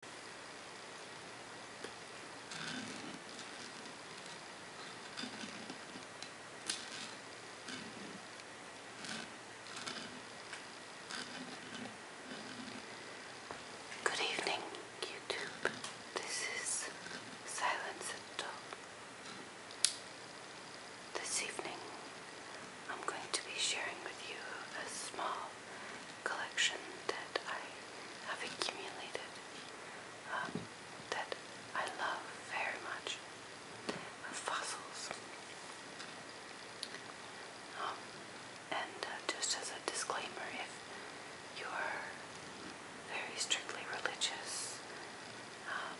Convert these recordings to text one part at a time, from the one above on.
Good evening, YouTube. This is Silence at Top. This evening, I'm going to be sharing with you a small collection that I have accumulated um, that I love very much fossils. Um, and uh, just as a disclaimer, if you are very strictly religious um,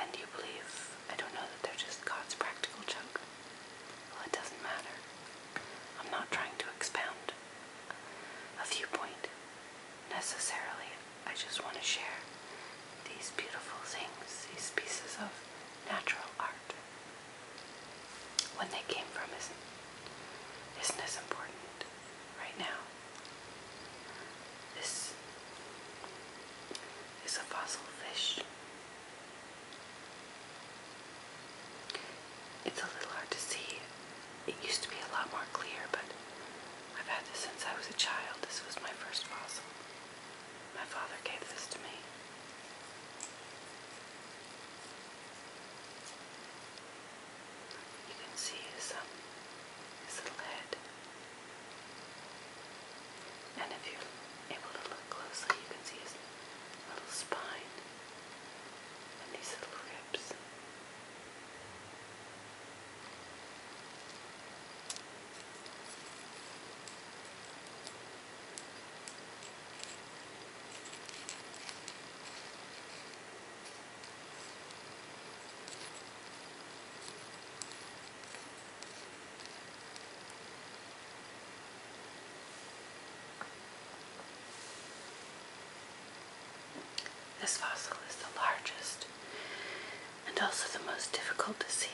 and you believe, I don't know that they're just God's practical joke, well, it doesn't matter. I'm not trying to expound a viewpoint necessarily. I just want to share these beautiful things, these pieces of natural art. When they came from isn't, isn't as important right now. This is a fossil fish it's a little hard to see. It used to be a lot more clear, but I've had this since I was a child. This was my first fossil. My father gave this to me. You can see his, um, his little head. And if you're able to look closely, you can see his little spine and these little ribs. This fossil is the largest and also the most difficult to see.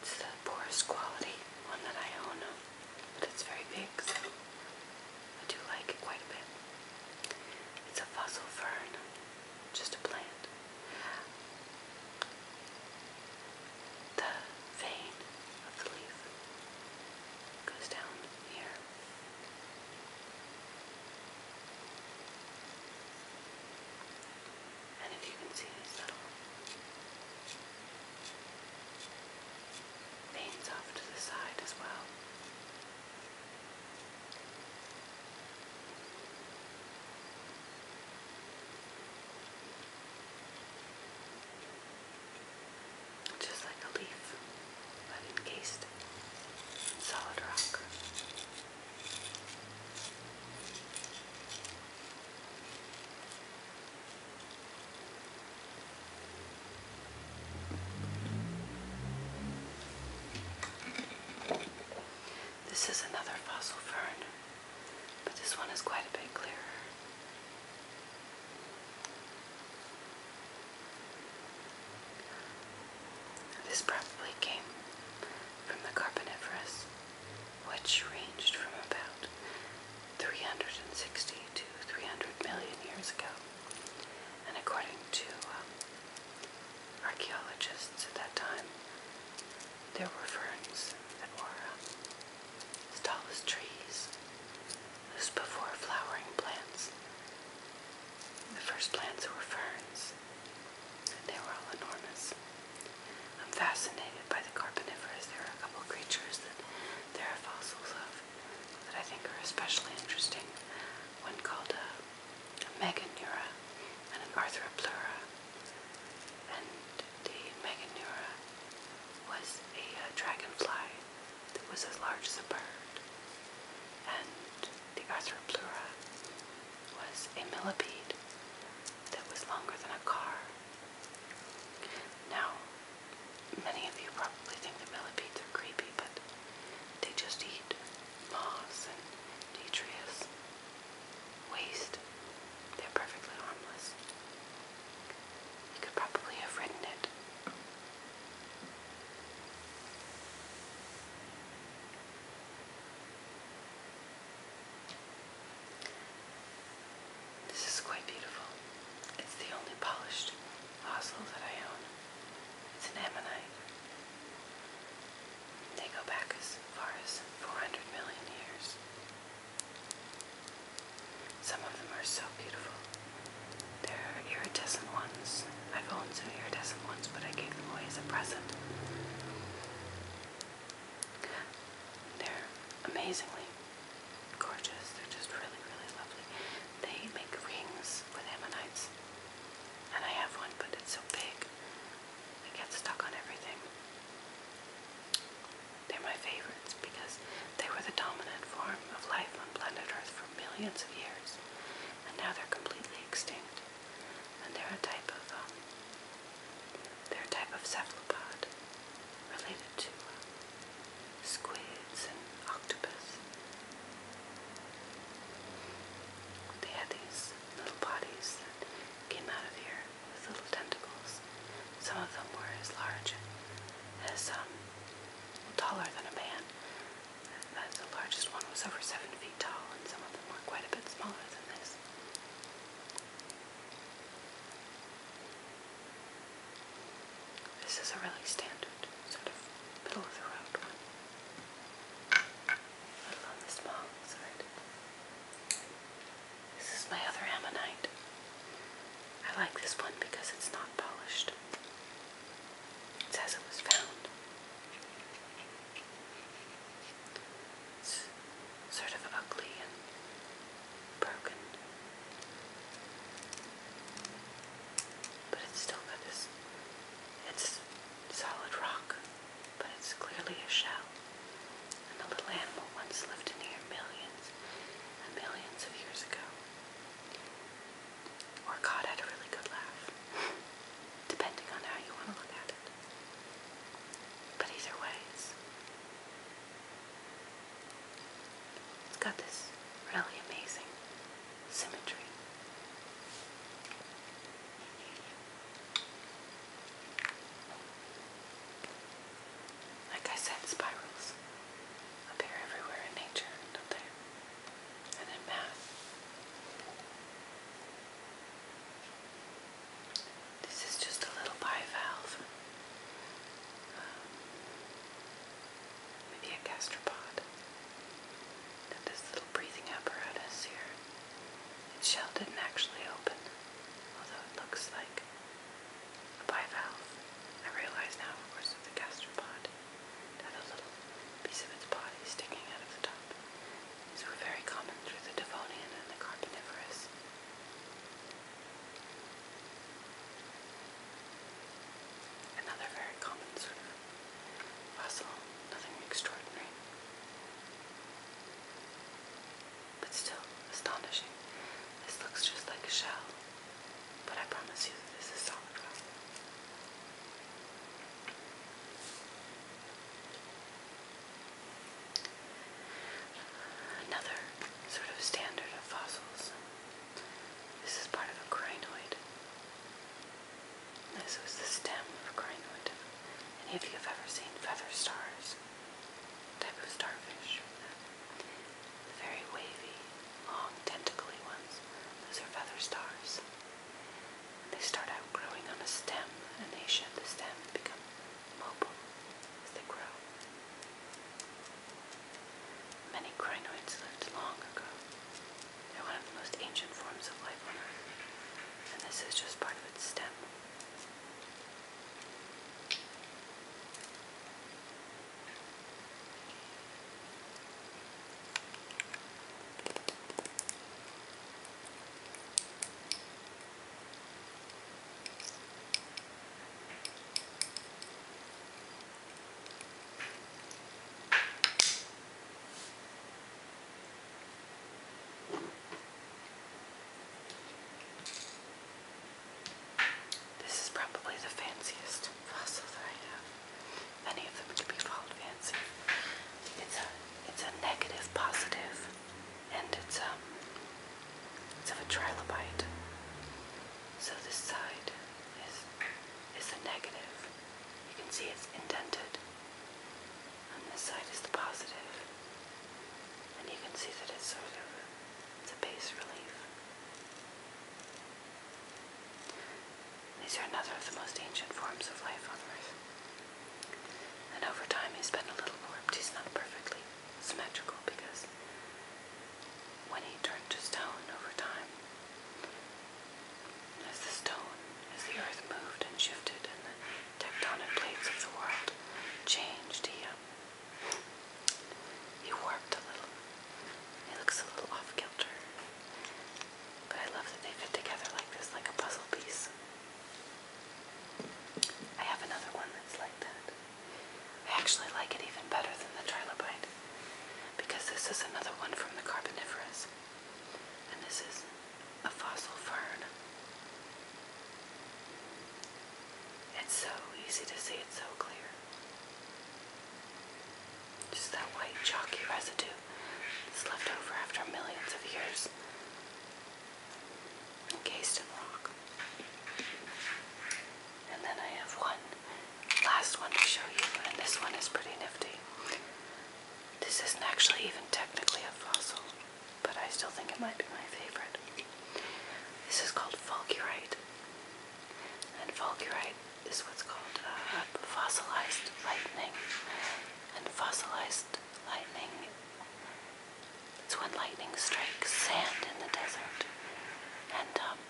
It's the poorest quality one that I own, but it's very big, so I do like it quite a bit. It's a fossil fern, just a plant. The vein of the leaf goes down here. And if you can see these little veins off to the side as well. Just like a leaf, but encased in solid rock. This is another fossil fern, but this one is quite a bit clearer. This probably came from the Carboniferous, which ranged from about 360 to 300 million years ago. And according to um, Archaeologists at that time, there were ferns that were um, as tall as trees. This before flowering plants. The first plants were ferns, and they were all enormous. I'm fascinated by the Carboniferous. There are a couple creatures that there are fossils of that I think are especially interesting one called a, uh, meganeura and an arthropleura, And the meganeura was a uh, dragonfly that was as large as a bird. And the arthropleura was a millipede that was longer than a car. Now, many of you probably think the millipedes are creepy, but they just eat moss and detritus, waste. They're perfectly harmless. You could probably have written it. This is quite beautiful. It's the only polished fossil that I own. It's an ammonite. They go back as far as 400 million years. Some of them are so beautiful. they are iridescent ones. I've owned some iridescent ones, but I gave them away as a present. They're amazingly gorgeous. They're just really, really lovely. They make rings with ammonites. And I have one, but it's so big, it gets stuck on everything. They're my favorites because they were the dominant form of life on planet Earth for millions of years. And now they're completely extinct. And they're a type of, um, they're a type of cephalopod related to uh, squids and octopus they had these little bodies that came out of here with little tentacles. Some of them were as large as, um, taller than a man. The largest one was over seven feet tall, and some of them were quite a bit smaller than this. This is a really standard, sort of middle of the road one. I love the small side. This is my other ammonite. I like this one because it's not polished. It says it was found. It's sort of ugly and broken. But it's still got this, it's solid rock, but it's clearly a shell. And the little animal once lived in here millions and millions of years ago. Or God had a really good laugh, depending on how you want to look at it. But either way, it's. It's got this really amazing symmetry. Like I said, spirals appear everywhere in nature, don't And in math. This is just a little bivalve. Um, maybe a gastropod. Now this little breathing apparatus here, its shell didn't actually open, although it looks like a bivalve. I realize now, of course, with the gastropod, it had a little piece of its body sticking out of the top. These were very common through the Devonian and the Carboniferous. Another very common sort of fossil, nothing extraordinary. But still astonishing. This looks just like a shell, but I promise you this is solid rock. Another sort of standard of fossils this is part of a crinoid. This was the stem of a crinoid. Any of you've ever seen feather stars, type of starfish, the very wavy, long, tentacly ones, those are feather stars. They start out growing on a stem, and they shed the stem and become mobile as they grow. Many crinoids lived long ago. They're one of the most ancient forms of life on Earth, and this is just part of its stem. This is probably the fanciest fossil that I have. Many of them could be called fancy. It's a it's a negative positive and it's um it's of a trilobite. So this side is is the negative. You can see it's indented. And this side is the positive. And you can see that it's sort of it's a base relief. These are another of the most ancient forms of life on Earth. And over time, he's been a little warped. He's not perfectly symmetrical because when he turned to stone over time, as the stone, as the earth moved and shifted and the tectonic plates of the world changed, he, um, he warped a little. He looks a little off kilter. But I love that they fit together like this, like a puzzle piece. I have another one that's like that. I actually like it even better than the trilobite because this is another one from the Carboniferous, and this is a fossil fern. It's so easy to see, it's so clear. Just that white chalky residue that's left over after millions of years encased in rock. And then I have one last one to show you, and this one is pretty nifty. This isn't actually even technically a fossil, but I still think it might be my favorite. This is called fulgurite, and fulgurite is what's called uh, fossilized lightning, and fossilized lightning it's when lightning strikes sand in the desert and um,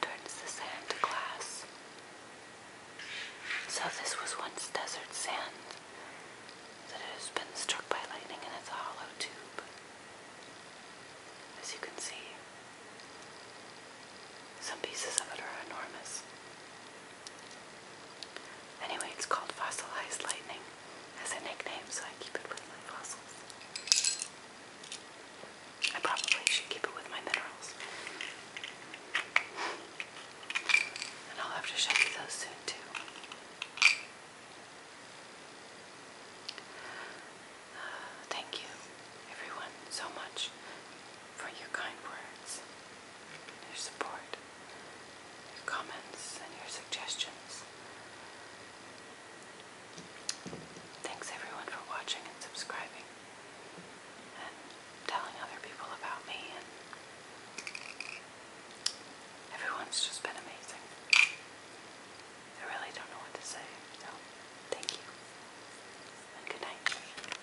turns the sand to glass. So this was once desert sand that has been struck by lightning and it's a hollow tube, as you can see. Some pieces of it are enormous. Anyway, it's called fossilized lightning as a nickname, so I keep it with my fossils. I probably should keep it with my minerals. And I'll have to show you those soon, too. Uh, thank you, everyone, so much for your kind words your support, your comments, and your suggestions. Thanks everyone for watching and subscribing and telling other people about me and everyone's just been amazing. I really don't know what to say, so thank you and good night.